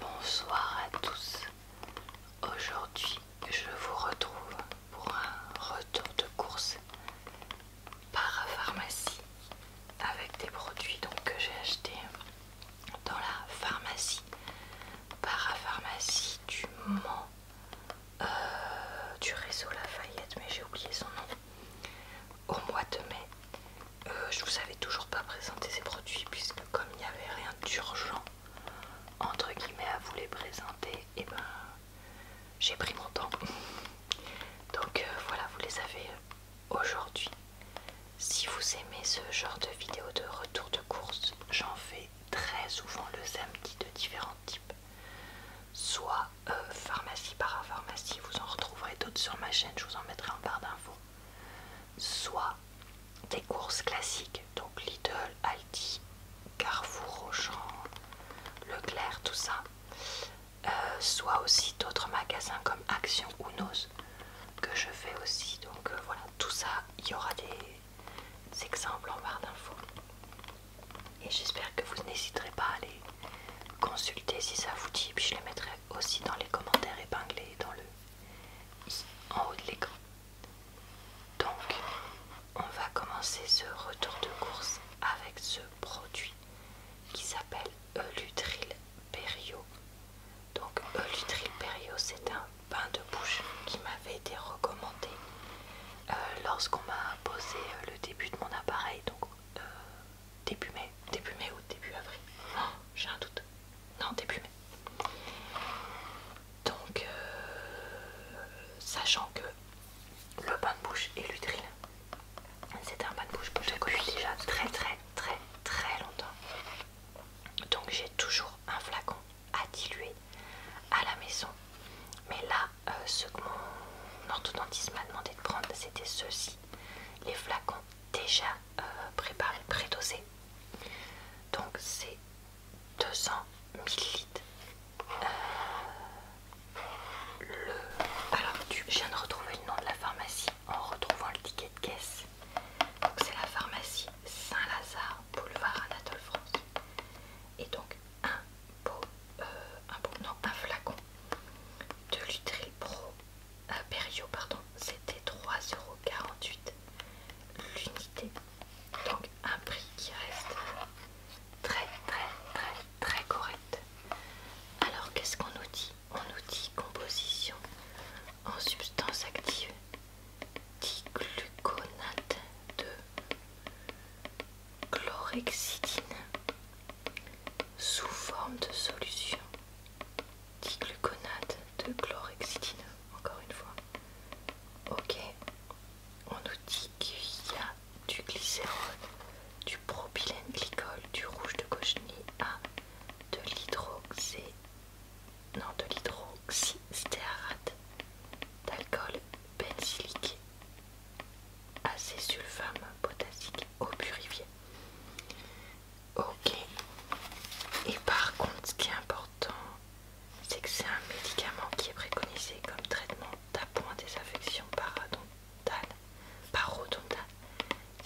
Bonsoir à tous. Aujourd'hui, je vous retrouve pour un retour de course parapharmacie avec des produits que j'ai achetés dans la pharmacie parapharmacie du Mans euh, du réseau Lafayette mais j'ai oublié son nom au mois de mai euh, je vous avais toujours pas présenté ces produits puisque comme il n'y avait rien d'urgent entre guillemets à vous les présenter et eh ben j'ai pris mon temps donc euh, voilà vous les avez euh, aujourd'hui si vous aimez ce genre de vidéo de retour de course j'en fais très souvent le samedi de différents types soit pharmacie parapharmacie vous en retrouverez d'autres sur ma chaîne je vous en mettrai en barre d'infos soit des courses classiques, donc Lidl, Aldi, Carrefour, Auchan, Leclerc, tout ça, euh, soit aussi d'autres magasins comme Action ou Nose que je fais aussi. Donc euh, voilà, tout ça, il y aura des, exemples en barre d'infos. Et j'espère que vous n'hésiterez pas à les consulter si ça vous dit. Puis je les mettrai aussi dans les commentaires épinglés dans le en haut de l'écran. Donc, on va commencer ce retour de course avec ce produit qui s'appelle Eulutril Perio. Donc, Elutril Perio, c'est un bain de bouche qui m'avait été recommandé euh, lorsqu'on m'a posé euh, le début de mon appareil. Donc, euh, début mai, début mai ou début avril. Oh, j'ai un doute. Non, début mai. Donc, euh, sachant que le bain de bouche et l'utérine. c'est un bain de bouche que je déjà très très très très longtemps. Donc j'ai toujours un flacon à diluer à la maison. Mais là, euh, ce que mon orthodontiste m'a demandé de prendre, c'était ceci les flacons déjà euh, préparé, pré dosé Donc c'est 200 ml. Euh, alors je viens de retrouver le nom de la pharmacie en retrouvant le ticket de caisse. Donc c'est la pharmacie Saint-Lazare, boulevard Anatole France. Et donc un beau, un non un flacon de l'Utril Pro à pardon, c'était 3,48€ l'unité. Donc un prix qui reste très très très très correct. Alors qu'est-ce qu'on nous dit On nous dit composition en substance active digluconate de chlorhexidine sous forme de solution digluconate de chlorhexidine, encore une fois. Ok, on nous dit qu'il y a du glycérol, du propylène glycol, du rouge de cochenille A, de l'hydroxy, non de l'hydroxystérate d'alcool benzylique, acésulfame potassique au purifié. Ok. Et par contre, ce qui est important, c'est que c'est un médicament qui est préconisé comme traitement d'appoint des infections parodontales, parodontales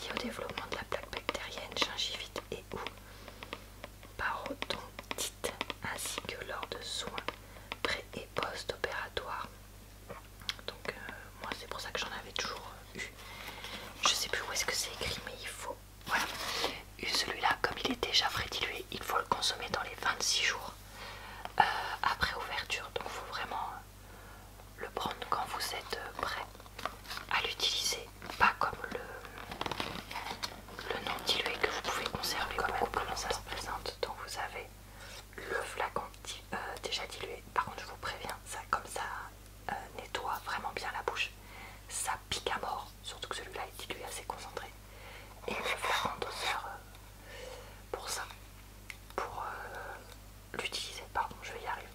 liées au développement de la plaque bactérienne, gingivite et ou parodontite, ainsi que lors de soins pré- et post-opératoires. Donc, euh, moi, c'est pour ça que j'en avais toujours je sais plus où est-ce que c'est écrit, mais il faut. Voilà. Celui-là, comme il est déjà frais dilué, il faut le consommer dans les 26 jours euh, après ouverture. Donc, il faut vraiment euh, le prendre quand vous êtes euh, prêt à l'utiliser. Pas comme le, le non dilué que vous pouvez conserver comme beaucoup Ça se présente. Donc, vous avez le flacon déjà dilué. Par contre, je vous préviens, ça comme ça, euh, nettoie vraiment bien la bouche. Ça pique à mort, surtout que celui-là est dilué assez concentré. Et je faire un doseur pour ça, pour euh, l'utiliser. Pardon, je vais y arriver.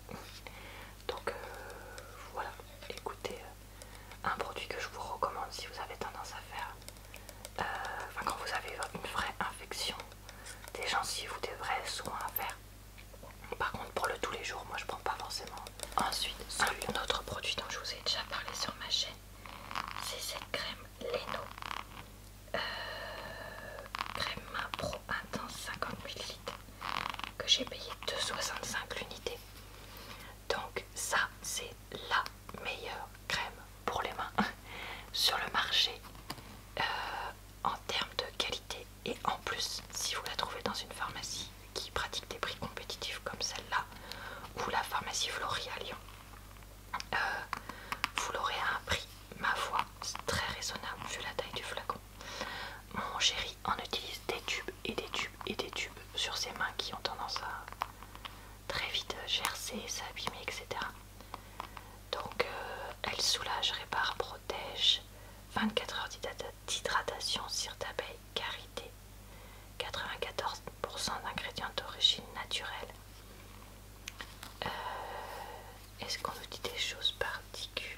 Donc euh, voilà, écoutez, un produit que je vous recommande si vous avez tendance à faire, enfin quand vous avez une vraie infection des gencives ou des vrais soins à faire. Par contre, pour le tous les jours, moi je prends pas forcément. Ensuite, ah. un autre produit dont je vous ai déjà parlé sur ma chaîne, c'est cette crème Leno. Euh, crème pro intense 50 ml que j'ai payé 2,65 l'unité. Donc ça c'est la meilleure crème pour les mains sur le marché euh, en termes de qualité et en plus, si vous la trouvez dans une pharmacie qui pratique des prix compétitifs comme celle-là, ou la pharmacie Florian Lyon, euh, vous l'aurez à un prix, ma foi, très raisonnable vu la taille du flacon. Mon chéri en utilise des tubes et des tubes et des tubes sur ses mains qui ont tendance à très vite gercer, s'abîmer, etc. Donc euh, elle soulage, répare, protège, 24 heures d'hydratation, cire d'abeille, carité. 94% d'ingrédients d'origine naturelle. Euh, est-ce qu'on nous dit des choses particulières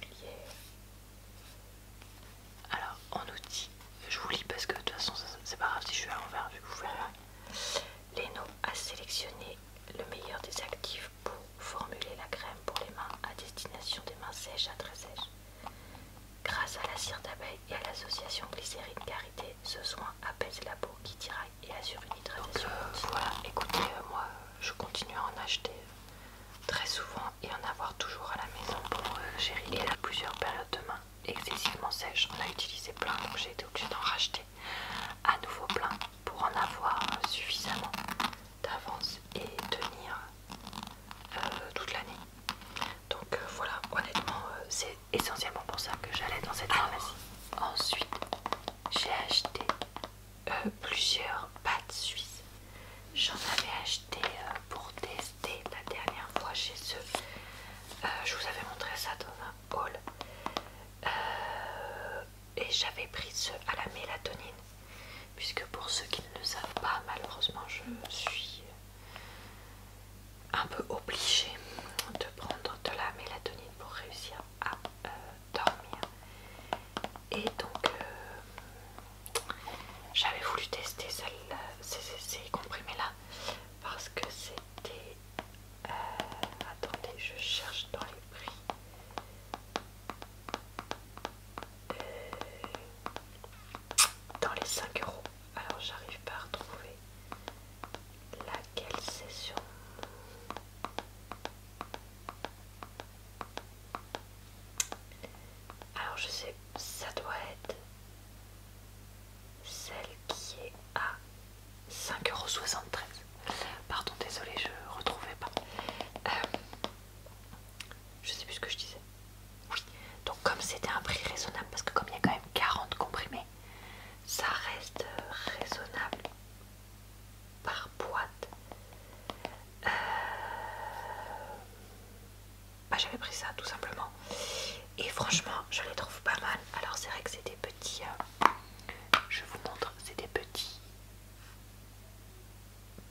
Alors, on nous dit, je vous lis parce que de toute façon, c'est pas grave si je suis à l'envers, vu que vous verrez. Leno a sélectionné le meilleur des actifs pour formuler la crème pour les mains à destination des mains sèches à très sèches. Grâce à la cire d'abeille et à l'association glycérine-carité, ce soin apaise la peau qui tiraille et assure une hydratation. Euh, voilà, écoutez, euh, moi je continue à en acheter très souvent et en avoir toujours à la maison pour chérie euh, gérer. Et plusieurs périodes de mains excessivement sèches, on a utilisé plein donc j'ai été obligée d'en racheter à nouveau plein pour en avoir suffisamment d'avance et tenir euh, toute l'année. Donc euh, voilà, honnêtement, euh, c'est essentiellement pour ça que j'allais dans cette pharmacie. Ensuite, j'ai acheté plusieurs pâtes suisses. J'en avais acheté pour tester la dernière fois chez eux. je vous avais montré ça dans un haul et j'avais pris ceux à la mélatonine puisque pour ceux qui ne le savent pas malheureusement je suis un peu obligée de prendre de la mélatonine pour réussir à euh, dormir et donc euh, j'avais voulu tester ces, comprimés là parce que c'était euh, attendez je cherche dans les prix euh, dans les 5 euros. Alors j'arrive pas à retrouver laquelle session. Alors je sais, ça doit être celle qui est à euros. Pardon, désolé, je retrouvais pas. Euh, je sais plus ce que je disais. Oui, donc comme c'était un prix raisonnable, parce que comme il y a quand même 40 comprimés, ça reste raisonnable par boîte. Euh, bah, j'avais pris ça tout simplement. Et franchement, je les trouve pas mal. Alors c'est vrai que c'est des petits... Euh, je vous montre, c'est des petits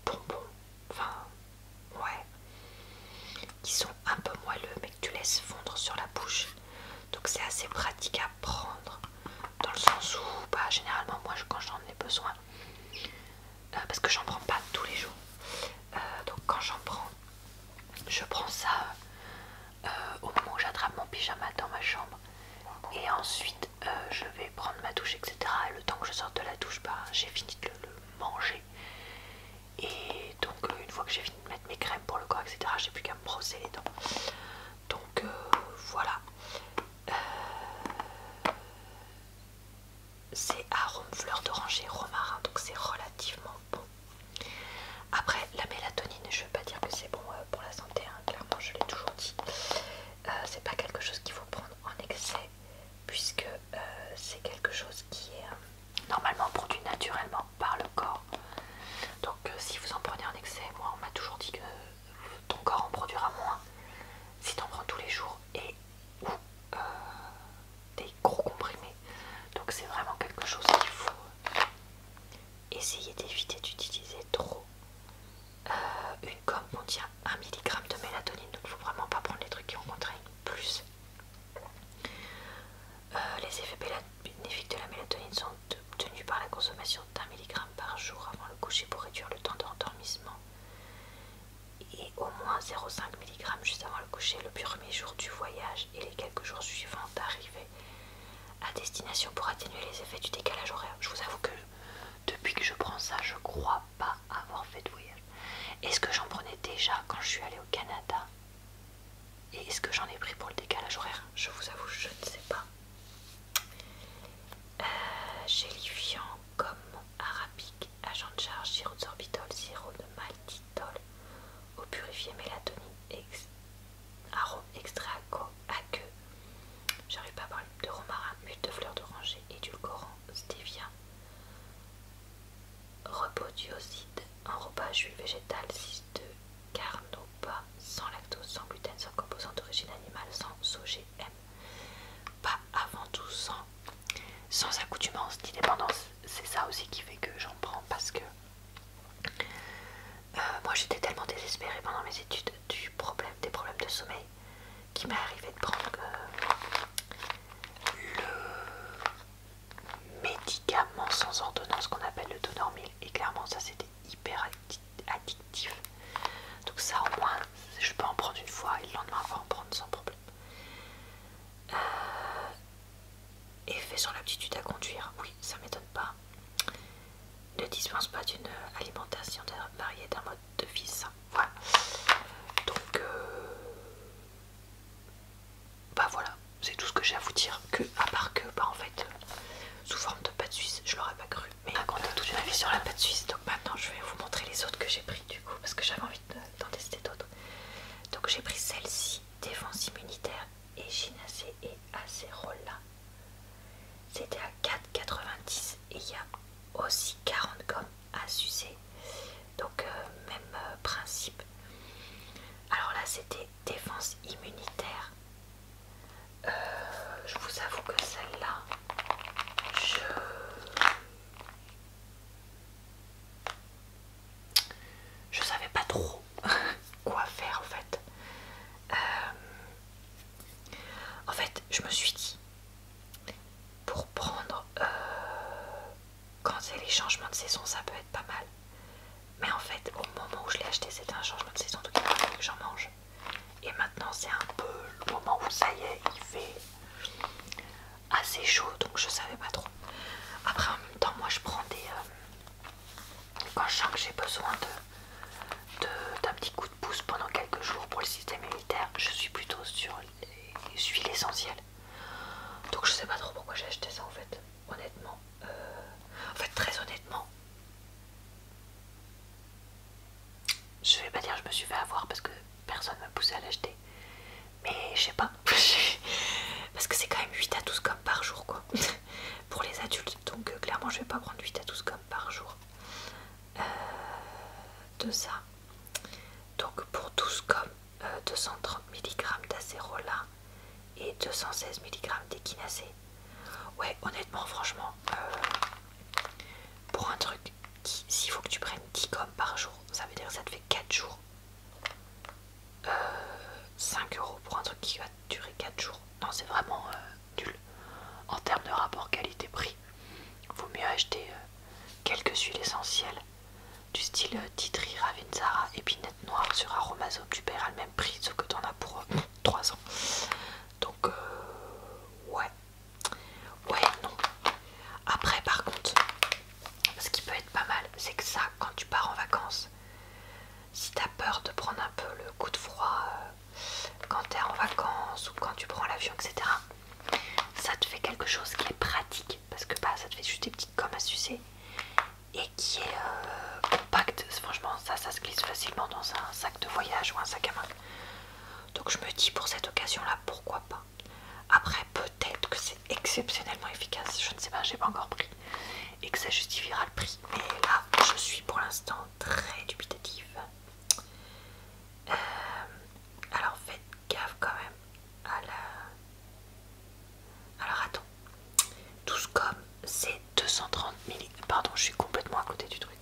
bonbons, enfin ouais, qui sont un peu moelleux mais que tu laisses fondre sur la bouche. Donc c'est assez pratique à prendre dans le sens où bah, généralement moi quand j'en ai besoin, euh, parce que j'en prends pas tous les jours, euh, donc quand j'en prends, je prends ça euh, au moment où j'attrape mon pyjama dans ma chambre et ensuite euh, je vais prendre ma douche etc le temps que je sorte de la douche bah, j'ai fini de le, manger et donc euh, une fois que j'ai fini de mettre mes crèmes pour le corps etc j'ai plus qu'à me brosser les dents donc euh, voilà c'est arôme fleur d'oranger romarin donc c'est relativement bon après la mélatonine je ne veux pas dire que c'est bon pour la santé hein, clairement je l'ai toujours dit euh, c'est pas quelque chose qu'il faut prendre en excès puisque euh, c'est quelque chose qui est euh, normalement produit naturellement par le corps donc si vous en prenez en excès moi on m'a toujours dit que ton corps en produira moins si tu en prends tous les jours et ou des gros comprimés donc c'est vraiment quelque chose qu'il faut essayer d'éviter d'utiliser trop euh, une gomme contient 1 mg de mélatonine, donc il ne faut vraiment pas prendre les trucs qui en contraignent plus. Euh, les effets bénéfiques de la mélatonine sont obtenus par la consommation d'un milligramme par jour avant le coucher pour réduire le temps d'endormissement et au moins 0,5 mg juste avant le coucher le premier jour du voyage et les quelques jours suivants d'arrivée à destination pour atténuer les effets du décalage horaire. Je vous avoue que depuis que je prends ça, je crois pas avoir fait de voyage. Est-ce que j'en prenais déjà quand je suis allée au Canada Et est-ce que j'en ai pris pour le décalage horaire Je vous avoue, je ne sais pas. Euh, gélifiant comme arabique, agent de charge, sirop de sorbitol, sirop de maltitol, au purifié mélatonine, ex arôme extra queue j'arrive pas à parler, de romarin, huile de fleur d'oranger, édulcorant, stevia, en enrobage huile végétale, 6 de pas sans lactose, sans gluten, sans composants d'origine animale, sans OGM, pas avant tout sans, sans accoutumance ni C'est ça aussi qui fait que j'en prends parce que euh, moi j'étais tellement désespérée pendant mes études du problème, des problèmes de sommeil qui m'est arrivé de prendre euh, le médicament sans ordonnance qu'on appelle le Donormil et clairement ça c'était hyper addictif donc ça au moins je peux en prendre une fois et le lendemain je en prendre sans problème euh, effet sur l'aptitude à conduire oui ça m'étonne pas ne dispense pas d'une alimentation variée d'un mode de vie sain. Voilà. Donc, euh, bah voilà, c'est tout ce que j'ai à vous dire. Que, à part que, bah en fait, sous forme de pâte suisse, je l'aurais pas cru. Mais raconter euh, toute une vie sur la pâte suisse. Donc maintenant, je vais vous montrer les autres que j'ai pris du coup, parce que j'avais envie d'en tester d'autres. Donc j'ai pris celle-ci, défense immunitaire, et gynacée et acérola. C'était à 4,90 et il y a aussi 40 gommes à sucer. Donc euh, même euh, principe. Alors là c'était défense immunitaire. Euh, je vous avoue que celle-là, je... Je savais pas trop quoi faire en fait. En fait, je me suis dit, pour prendre, euh, quand c'est les changements de saison, ça peut être pas mal. Mais en fait, au moment où je l'ai acheté, c'était un changement de saison, donc il que j'en mange. Et maintenant, c'est un peu le moment où ça y est, il fait assez chaud, donc je savais pas trop. Après, en même temps, moi, je prends des, euh, quand je sens que j'ai besoin de d'un petit coup de pouce pendant quelques jours pour le système immunitaire, je suis plutôt sur les huiles essentielles. Donc je sais pas trop pourquoi j'ai acheté ça en fait, honnêtement. Euh, en fait, très honnêtement, je vais pas dire je me suis fait avoir parce que personne m'a poussé à l'acheter. Mais je sais pas. Parce que c'est quand même 8 à 12 comme par jour quoi. pour les adultes donc euh, clairement je vais pas prendre 8 à 12 comme par jour euh, de ça. Donc pour 12 comme 230 mg d'acérola et 216 mg d'équinacé Ouais, honnêtement, franchement, euh, pour un truc qui, s'il faut que tu prennes 10 gommes par jour, ça veut dire que ça te fait 4 jours. 5 euros pour un truc qui va durer 4 jours. Non, c'est vraiment en termes de rapport qualité-prix. Vaut mieux acheter euh, quelques huiles essentielles du style euh, Titri, et Épinette Noire sur aromazo Tu paieras le même prix, ce que t'en as pour 3 euh, ans. Donc, ouais. Ouais, non. Après, par contre, ce qui peut être pas mal, c'est que ça, quand tu pars en vacances, si t'as peur de prendre un peu le coup de froid euh, quand t'es en vacances ou quand tu prends l'avion, etc., ça te fait quelque chose qui est pratique parce que bah, ça te fait juste des petites gommes à sucer et qui est euh, compact. Franchement, ça, ça se glisse facilement dans un sac de voyage ou un sac à main. Donc je me dis pour cette occasion-là, pourquoi pas. Après, peut-être que c'est exceptionnellement efficace, je ne sais pas, j'ai pas encore pris, et que ça justifiera le prix. Mais là, je suis pour l'instant très dubitatif. Euh, alors faites gaffe quand même à la... Alors attends, ce comme c'est 230 mg Pardon, je suis complètement à côté du truc.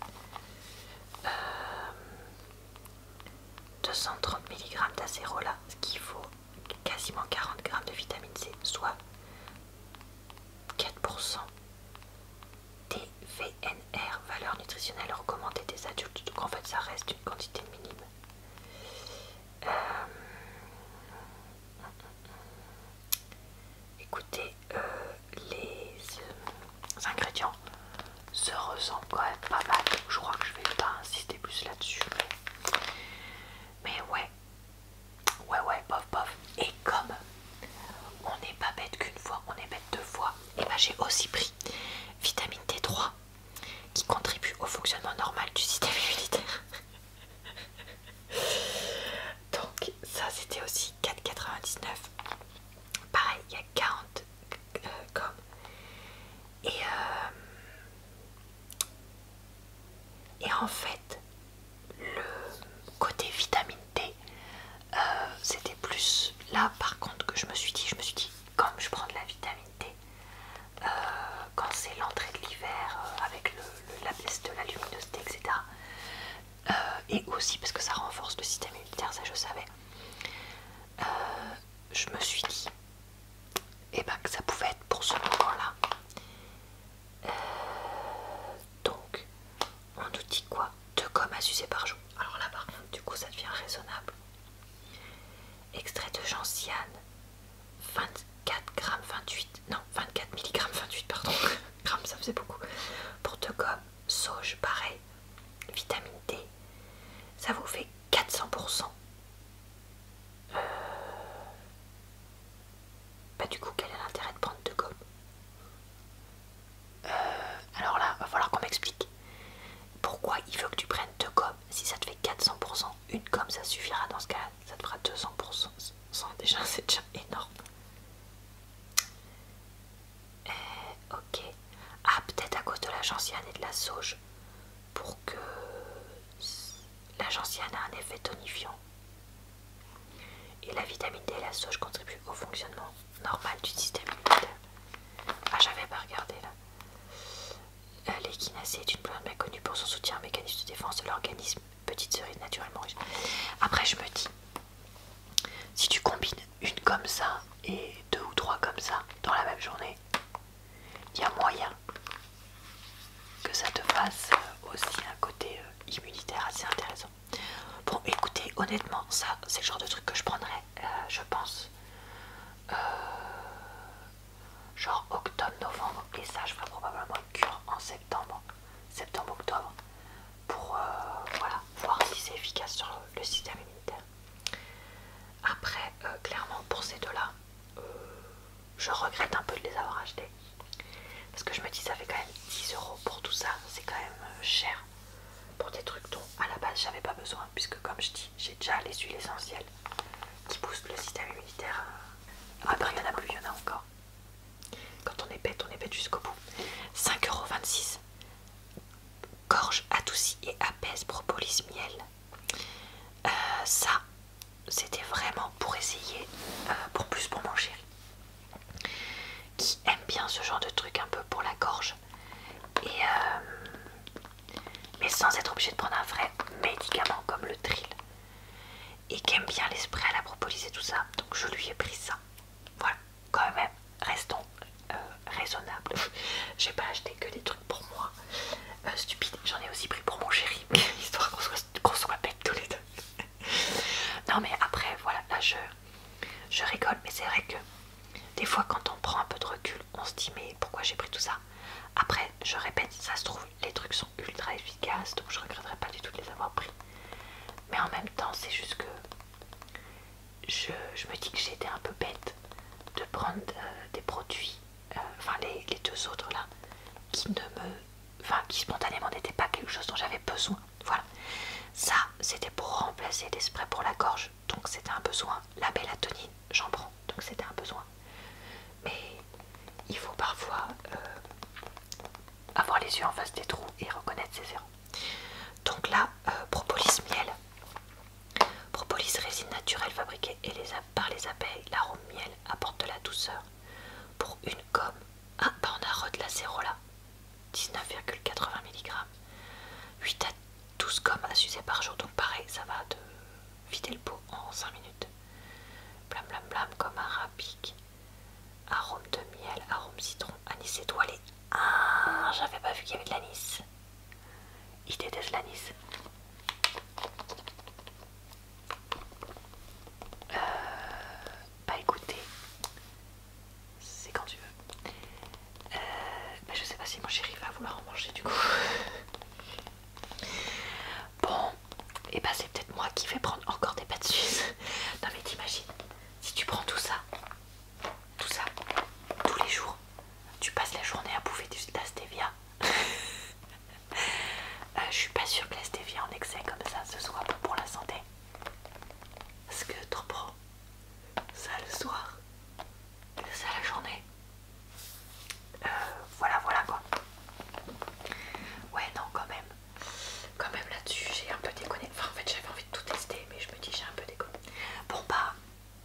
230 euh, mg d'acérola, ce qui vaut quasiment 40 g de vitamine C, soit 4% des VNR, valeur recommandée des adultes. Donc en fait, ça reste une quantité minime. Euh, écoutez, euh, les, ingrédients se ressemblent quand même pas mal. Je crois que je vais pas insister plus là-dessus. mais ouais, Ouais, ouais, bof, bof. Et comme on n'est pas bête qu'une fois, on est bête deux fois, et eh ben j'ai aussi pris vitamine t 3 qui contribue au fonctionnement normal du système immunitaire. Donc, ça c'était aussi 4,99. Pareil, il y a 40 euh, comme. Et, euh, et en fait, le côté vitamine T euh, c'était plus là par contre que je me suis dit, je me suis dit comme je prends de la vitamine D, euh, quand c'est l'entrée de l'hiver euh, avec la baisse de la luminosité, etc. et aussi parce que ça renforce le système immunitaire, ça je savais. je me suis dit, et eh ben que ça pouvait être pour ce moment-là. Euh, donc, on nous dit quoi Deux gommes à sucer par jour. Alors là, par du coup, ça devient raisonnable. Extrait de gentiane, 24 grammes 28, non, 24 mg 28, pardon, grammes, ça faisait beaucoup. Pour deux gommes, sauge, pareil, vitamine D, ça vous fait 400%. cent. Euh, bah du coup quel est l'intérêt de prendre deux gommes euh, Alors là, va falloir qu'on m'explique. Pourquoi il veut que tu prennes deux gommes si ça te fait 400% Une gomme ça suffira dans ce cas-là, ça te fera 200%. Déjà, c'est déjà énorme. Euh, ok. Ah, peut-être à cause de la et de la sauge. Pour que la a un effet tonifiant. Et la vitamine D et la sauge contribuent au fonctionnement normal du système immunitaire. Ah, j'avais pas regardé là. Euh, l'équinacée est une plante bien connue pour son soutien au mécanisme de défense de l'organisme. Petite cerise naturellement riche. Après, je me dis, si tu combines une comme ça et deux ou trois comme ça dans la même journée, il y a moyen que ça te fasse euh, aussi un côté euh, immunitaire assez intéressant. Bon, écoutez, honnêtement, ça, c'est le genre de truc que je prendrais, euh, je pense, genre octobre-novembre, et ça, je ferai probablement une cure en septembre, septembre-octobre, pour voilà, voir si c'est efficace sur le système immunitaire. Après, clairement, pour ces deux-là, euh, je regrette un peu de les avoir achetés parce que je me dis ça fait quand même 10 euros pour tout ça c'est quand même euh, cher pour des trucs dont à la base j'avais pas besoin puisque comme je dis j'ai déjà les huiles essentielles qui boostent le système immunitaire euh. après il y en a plus il y en a encore quand on est bête on est bête jusqu'au bout 5,26€ gorge adoucie et apaise propolis miel euh, ça c'était vraiment pour essayer, euh, pour plus pour mon chéri, qui aime bien ce genre de truc un peu pour la gorge, et euh, mais sans être obligé de prendre un vrai médicament comme le Trill, et qui aime bien l'esprit à la propolis et tout ça, donc je lui ai pris ça. Voilà, quand même, restons raisonnable euh, raisonnables. J'ai pas acheté que des trucs pour moi, stupide. J'en ai aussi pris pour mon chéri, histoire qu'on soit tous les deux non mais après voilà là je, rigole mais c'est vrai que des fois quand on prend un peu de recul on se dit mais pourquoi j'ai pris tout ça après je répète ça se trouve les trucs sont ultra efficaces donc je regretterai pas du tout de les avoir pris mais en même temps c'est juste que je, me dis que j'ai été un peu bête de prendre euh, des produits euh, enfin les, les deux autres là qui ne me qui spontanément n'était pas quelque chose dont j'avais besoin. Voilà. Ça, c'était pour remplacer des sprays pour la gorge, donc c'était un besoin. La mélatonine, j'en prends, donc c'était un besoin. Mais il faut parfois euh, avoir les yeux en face des trous et reconnaître ses erreurs. Donc là, euh, propolis miel, propolis résine naturelle fabriquée par les abeilles, l'arôme miel apporte de la douceur. Pour une gomme, ah, bah on a re de quatre 19,80 mg. 8 à 12 gommes à sucer par jour, donc pareil, ça va de vider le pot en 5 minutes. Blam blam blam, comme arabique. Arôme de miel, arôme citron, anis étoilé. Ah, j'avais pas vu qu'il y avait de l'anis. Il déteste l'anis. Euh, bah écoutez, c'est quand tu veux. Euh, bah, je sais pas si mon chéri va vouloir en manger du coup. bon, et eh bah ben, c'est peut-être moi qui vais prendre encore des pâtes suisses. non mais t'imagines, si tu prends tout ça, tout ça, tous les jours, tu passes la journée à bouffer du, de la stevia. Euh, je suis pas sûre que la stevia en excès comme ça ce soit pour la santé. Parce que trop prends ça le soir, ça la journée. Euh, voilà, voilà quoi. Ouais, non, quand même. Quand même là-dessus, j'ai un peu déconné. Enfin, en fait, j'avais envie de tout tester, mais je me dis, j'ai un peu déconné. Bon, pas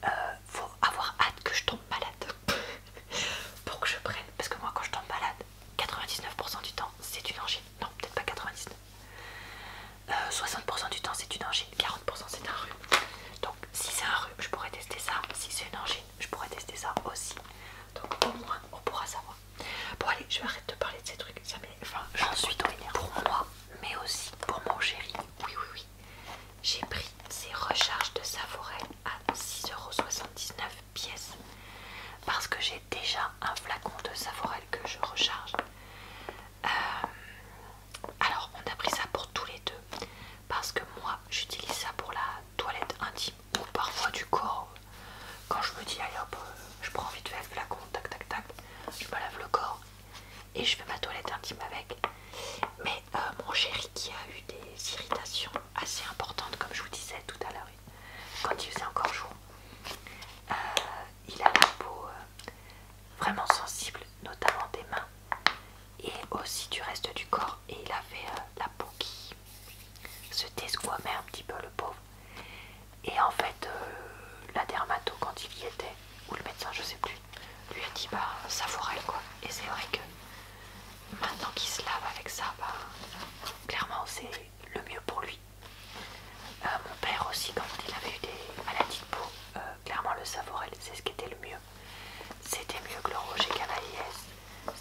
bah, euh, faut avoir hâte que je tombe malade pour que je prenne. Parce que moi, quand je tombe malade, 99% du temps, c'est une angine. Non, peut-être pas 99%. 60% euh, du temps, c'est une angine. 40% c'est un rhume. Donc, si c'est un rhume, je pourrais tester ça. Si c'est une angine, je pourrais tester ça aussi. Donc, au moins, on pourra savoir. Bon, allez, je vais arrêter de parler de ces trucs. Ça j'en suis bien Pour moi, mais aussi pour mon chéri. Oui, oui, oui. J'ai pris ces recharges de forêt à 6,79€ pièce parce que j'ai déjà un flacon de Savorel que je recharge. Euh, alors on a pris ça pour tous les deux parce que moi j'utilise ça pour la toilette intime ou parfois du corps. Quand je me dis allez hop, euh, je prends vite fait le flacon, tac tac tac, je me lave le corps et je fais ma toilette intime avec. Mais euh, mon chéri qui a eu des irritations assez importantes comme je vous disais tout à l'heure quand il faisait encore jour. Euh, il a la peau euh, vraiment sensible, notamment des mains et aussi du reste du corps. Et il avait euh, la peau qui se désquamait un petit peu, le pauvre. Et en fait, la dermato, quand il y était, ou le médecin, je sais plus, lui a dit bah ça forelle quoi. Et c'est vrai que Maintenant qu'il se lave avec ça, bah, clairement c'est le mieux pour lui. Euh, mon père aussi, quand il avait eu des maladies de peau, euh, clairement le Savorel, c'est ce qui était le mieux. C'était mieux que le rocher Cavaillès.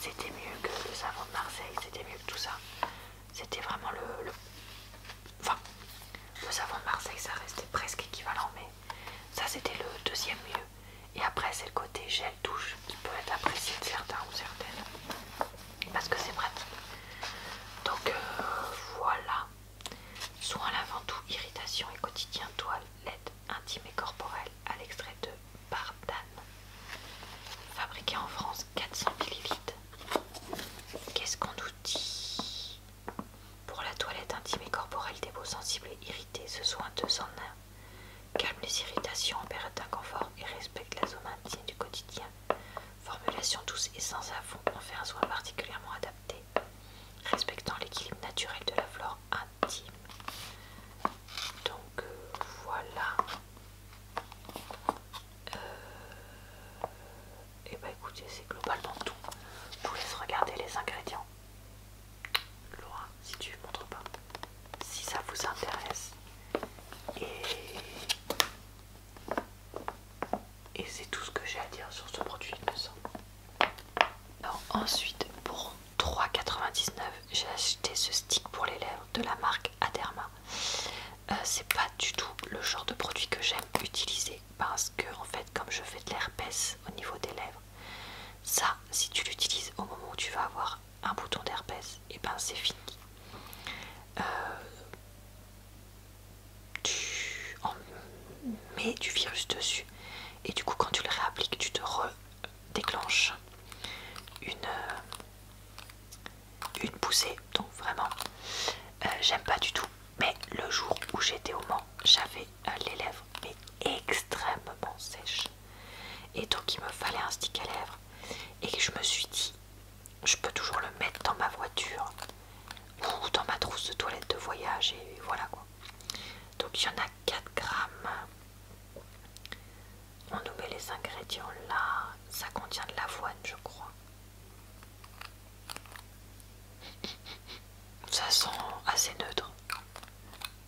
c'était mieux que le savon de Marseille, c'était mieux que tout ça. C'était vraiment le, le... Enfin, le savon de Marseille, ça restait presque équivalent, mais ça c'était le deuxième mieux. Et après, c'est le côté gel douche qui peut être apprécié de certains ou certaines parce que c'est pratique. Donc euh, voilà. Soin lavant tout, irritation et quotidien, toilette intime et corporelle à l'extrait de Bardane. Fabriqué en France, 400 ml. Qu'est-ce qu'on nous dit Pour la toilette intime et corporelle des peaux sensibles et irritées, ce soin 201 Calme les irritations en d'inconfort et respecte la zone intime du quotidien. Formulation douce et sans savon, en fait un soin particulièrement adapté, respectant l'équilibre naturel de la flore intime. Donc euh, voilà. et euh, eh bah ben, écoutez, c'est globalement tout. Je vous laisse regarder les ingrédients. Laura, si tu ne montres pas, si ça vous intéresse. Et, c'est tout ce que j'ai à dire sur ce produit, il me semble. ensuite, pour 3,99, j'ai acheté ce stick pour les lèvres de la marque Aderma. Euh, c'est pas du tout le genre de produit que j'aime utiliser parce que en fait comme je fais de l'herpès au niveau des lèvres ça si tu l'utilises au moment où tu vas avoir un bouton d'herpès, et ben c'est fini. Euh, tu en mets du virus dessus et du coup quand tu le réappliques tu te redéclenches une, euh, une poussée donc vraiment euh, j'aime pas du tout mais le jour où j'étais au Mans j'avais les lèvres mais extrêmement sèches et donc il me fallait un stick à lèvres. Et je me suis dit, je peux toujours le mettre dans ma voiture ou dans ma trousse de toilette de voyage. Et voilà quoi. Donc il y en a 4 grammes. On nous met les ingrédients là. Ça contient de l'avoine, je crois. Ça sent assez neutre.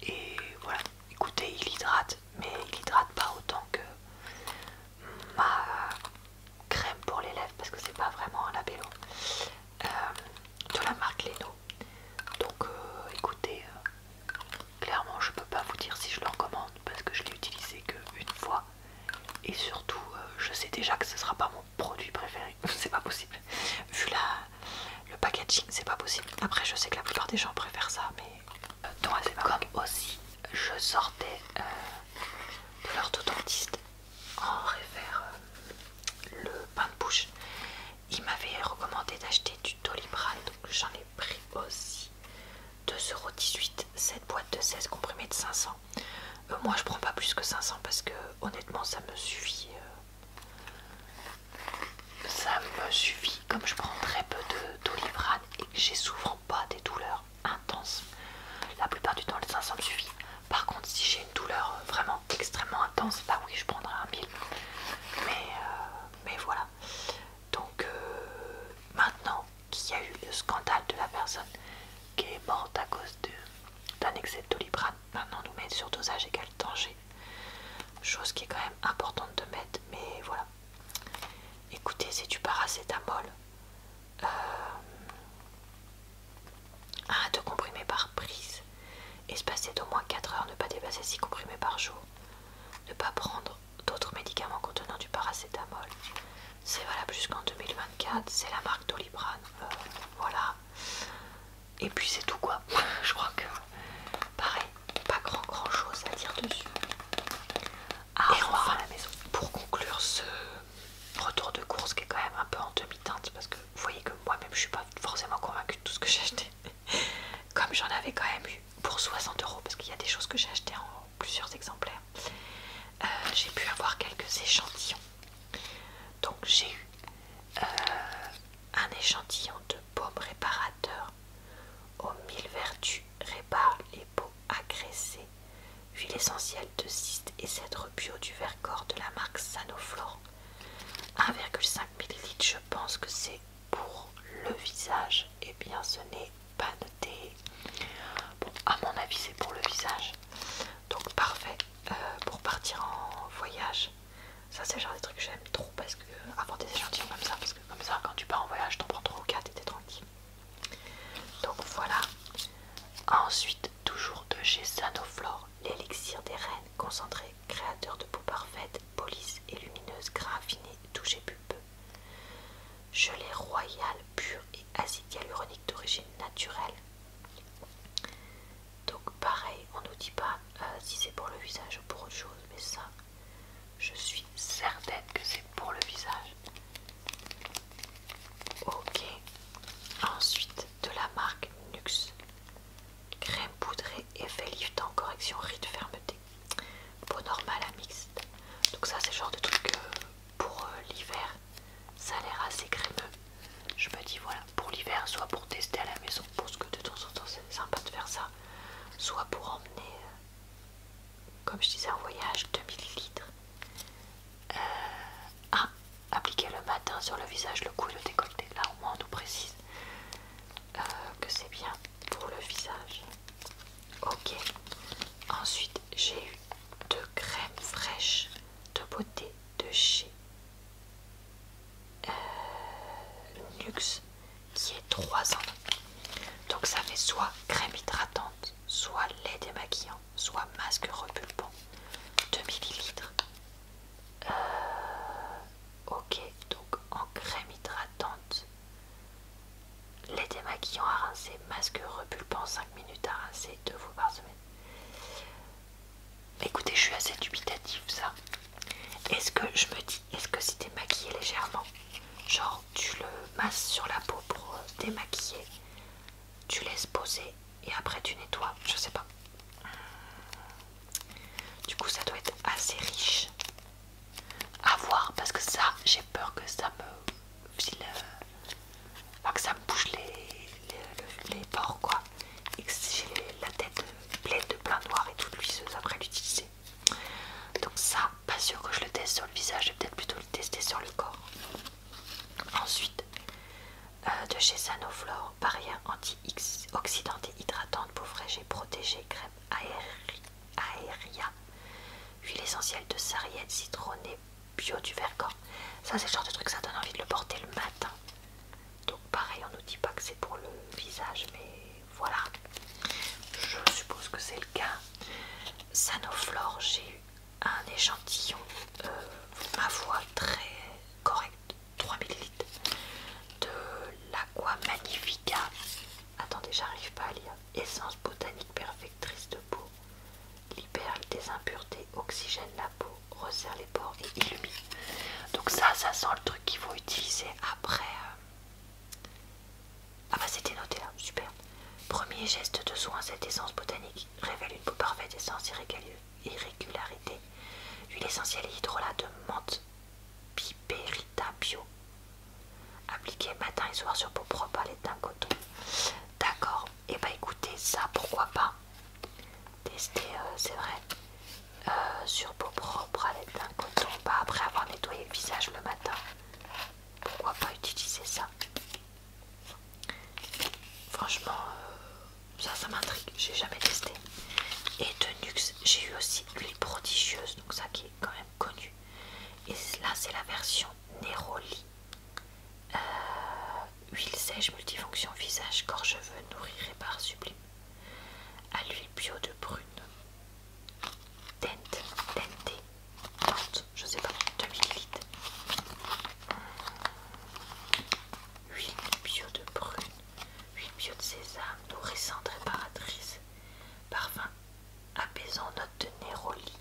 Et voilà, écoutez, il hydrate, mais il hydrate pas autant que ma crème pour les lèvres parce que c'est pas vraiment un labello euh, de la marque Leno. Donc euh, écoutez, euh, clairement je peux pas vous dire si je le recommande parce que je l'ai utilisé que une fois et surtout je sais déjà que ce sera pas mon produit préféré, c'est pas possible. Vu la, le packaging, c'est pas possible. Après je sais que la plupart des gens préfèrent ça, mais comme aussi je sortais euh, de l'orthodontiste en réfère euh, le pain de bouche, il m'avait recommandé d'acheter du Doliprane, donc j'en ai pris aussi 2,18€ cette boîte de 16 comprimés de 500. Euh, moi je prends pas plus que 500 parce que honnêtement ça me suffit ça me suffit comme je prends très peu de doliprane et que j'ai souvent pas des douleurs intenses la plupart du temps les 500 me suffit par contre si j'ai une douleur euh, vraiment extrêmement intense bah oui je prendrai un pile euh, mais, voilà donc euh, maintenant qu'il y a eu le scandale de la personne qui est morte à cause d'un excès de doliprane maintenant nous mettons sur dosage égal danger Chose qui est quand même importante de mettre, mais voilà. Écoutez, c'est du paracétamol. Euh, arrête de comprimer par prise. Espacé d'au moins 4 heures, ne pas dépasser 6 comprimés par jour. Ne pas prendre d'autres médicaments contenant du paracétamol. C'est valable jusqu'en 2024. C'est la marque d'olibran euh, voilà. Et puis c'est tout quoi. Je crois que pareil, pas grand grand chose à dire dessus. Et enfin, à la maison. pour conclure ce retour de course qui est quand même un peu en demi-teinte parce que vous voyez que moi-même je suis pas forcément convaincue de tout ce que j'ai acheté. Comme j'en avais quand même eu pour 60 euros parce qu'il y a des choses que j'ai achetées en plusieurs exemplaires, euh, j'ai pu avoir quelques échantillons. Donc j'ai eu euh, un échantillon de baume réparateur aux mille vertus, répare les peaux agressées. Huile essentielle de cyste et cèdre bio du Vercors de la marque Sanoflore. 1,5 ml, je pense que c'est pour le visage. Eh bien, ce n'est pas noté. Bon, à mon avis, c'est pour le visage. Donc, parfait euh, pour partir en voyage. Ça, c'est le genre des trucs que j'aime trop parce que avant des échantillons comme ça, parce que comme ça, quand tu pars en voyage, t'en prends trop ou 4 et t'es tranquille. Donc voilà. Ensuite, toujours de chez Sanoflore, l'élixir des reines concentré, créateur de peau parfaite, police et lumineuse, grain affiné, toucher peu Gelée royale pur et acide hyaluronique d'origine naturelle. Donc pareil, on nous dit pas euh, si c'est pour le visage ou pour autre chose, mais ça, je suis certaine que c'est pour le visage. Ok. Ensuite, de la marque Nux. Crème poudrée, effet en correction, rides, fermeté. Peau normale à mixte. Donc ça, c'est le genre de truc euh, pour euh, l'hiver. Ça a l'air assez crémeux. Je me dis, voilà, pour l'hiver, soit pour tester à la maison, parce que de temps en temps, c'est sympa de faire ça soit pour emmener, euh, comme je disais, en voyage 2000 litres. Euh, à appliquer le matin sur le visage, le cou et le décolleté. Là au moins on nous précise euh, que c'est bien pour le visage. Ok. Ensuite j'ai eu deux crèmes fraîches de beauté de chez euh, Nuxe qui est 3 ans. Donc ça fait soit crème hydratante, soit lait démaquillant, soit masque repulpant. 2 ml. Euh, ok, donc en crème hydratante, lait démaquillant à rincer, masque repulpant 5 minutes à rincer 2 fois par semaine. Écoutez, je suis assez dubitatif ça. Est-ce que je me dis est-ce que si t'es légèrement, genre tu le masses sur la peau pour euh, démaquiller, tu laisses poser et après tu nettoies, je sais pas. Du coup ça doit être assez riche à voir parce que ça j'ai peur que ça me file, euh, que ça me bouge les, les, les, les pores quoi j'ai la tête pleine de plein noir et toute luiseuse après l'utiliser. Donc ça, pas sûr que je le teste sur le visage, je vais peut-être plutôt le tester sur le corps. Ensuite, euh, de chez Sanoflore, barrière anti-oxydante et hydratante, peau fraîche et crème aérienne. aéria, huile essentielle de sarriette citronnée bio du Vercors. Ça c'est le genre de truc, ça donne envie de le porter le matin. Donc pareil, on ne nous dit pas que c'est pour le visage, mais voilà. Je suppose que c'est le cas. Sanoflore, j'ai eu un échantillon, euh, ma voix très correct, 3 ml de l'Aqua Magnifica. Attendez, j'arrive pas à lire. Essence botanique perfectrice de peau. Libère des impuretés, oxygène la peau, resserre les pores et illumine. Donc ça, ça sent le truc qu'il faut utiliser après. Ah bah c'était noté là, hein, super. Premier geste de soin, cette essence botanique révèle une parfaite essence irrégularité. Huile essentielle et hydrolat de menthe piperita bio. matin et soir sur peau propre à d'un coton. D'accord, et eh bah ben, écoutez, ça pourquoi pas tester, euh, c'est vrai. Euh, sur peau propre à l'aide d'un coton pas après avoir nettoyé le visage le matin. Pourquoi pas utiliser ça Franchement, euh, ça, ça m'intrigue. J'ai jamais testé. Et de Nuxe, j'ai eu aussi huile prodigieuse, donc ça qui est quand même connu. Et là, c'est la version Neroli. Euh, huile sèche multifonction visage, corps, cheveux, et par sublime à l'huile bio de prune Dente, Dente, Dente, je sais pas, 2000 ml. Huile bio de prune, huile bio de sésame, nourrissante, réparatrice, parfum apaisant, note de néroli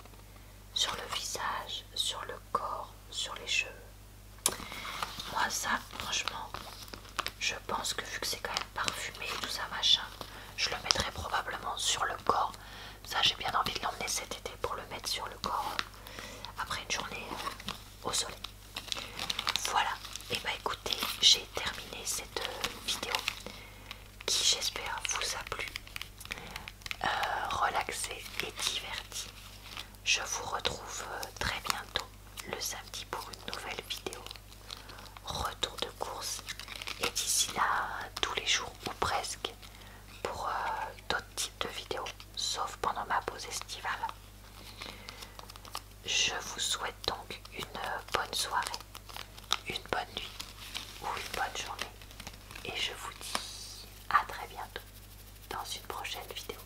sur le visage, sur le corps, sur les cheveux. Moi ça franchement je pense que vu que c'est quand même parfumé et tout ça machin je le mettrai probablement sur le corps. Ça j'ai bien envie de l'emmener cet été pour le mettre sur le corps euh, après une journée euh, au soleil. Voilà et eh bah ben, écoutez j'ai terminé cette euh, vidéo qui j'espère vous a plu. relaxé et diverti. Je vous retrouve très bientôt le samedi pour une nouvelle vidéo. Retour de course et d'ici là tous les jours ou presque pour euh, d'autres types de vidéos, sauf pendant ma pause estivale. Je vous souhaite donc une euh, bonne soirée, une bonne nuit ou une bonne journée et je vous dis à très bientôt dans une prochaine vidéo.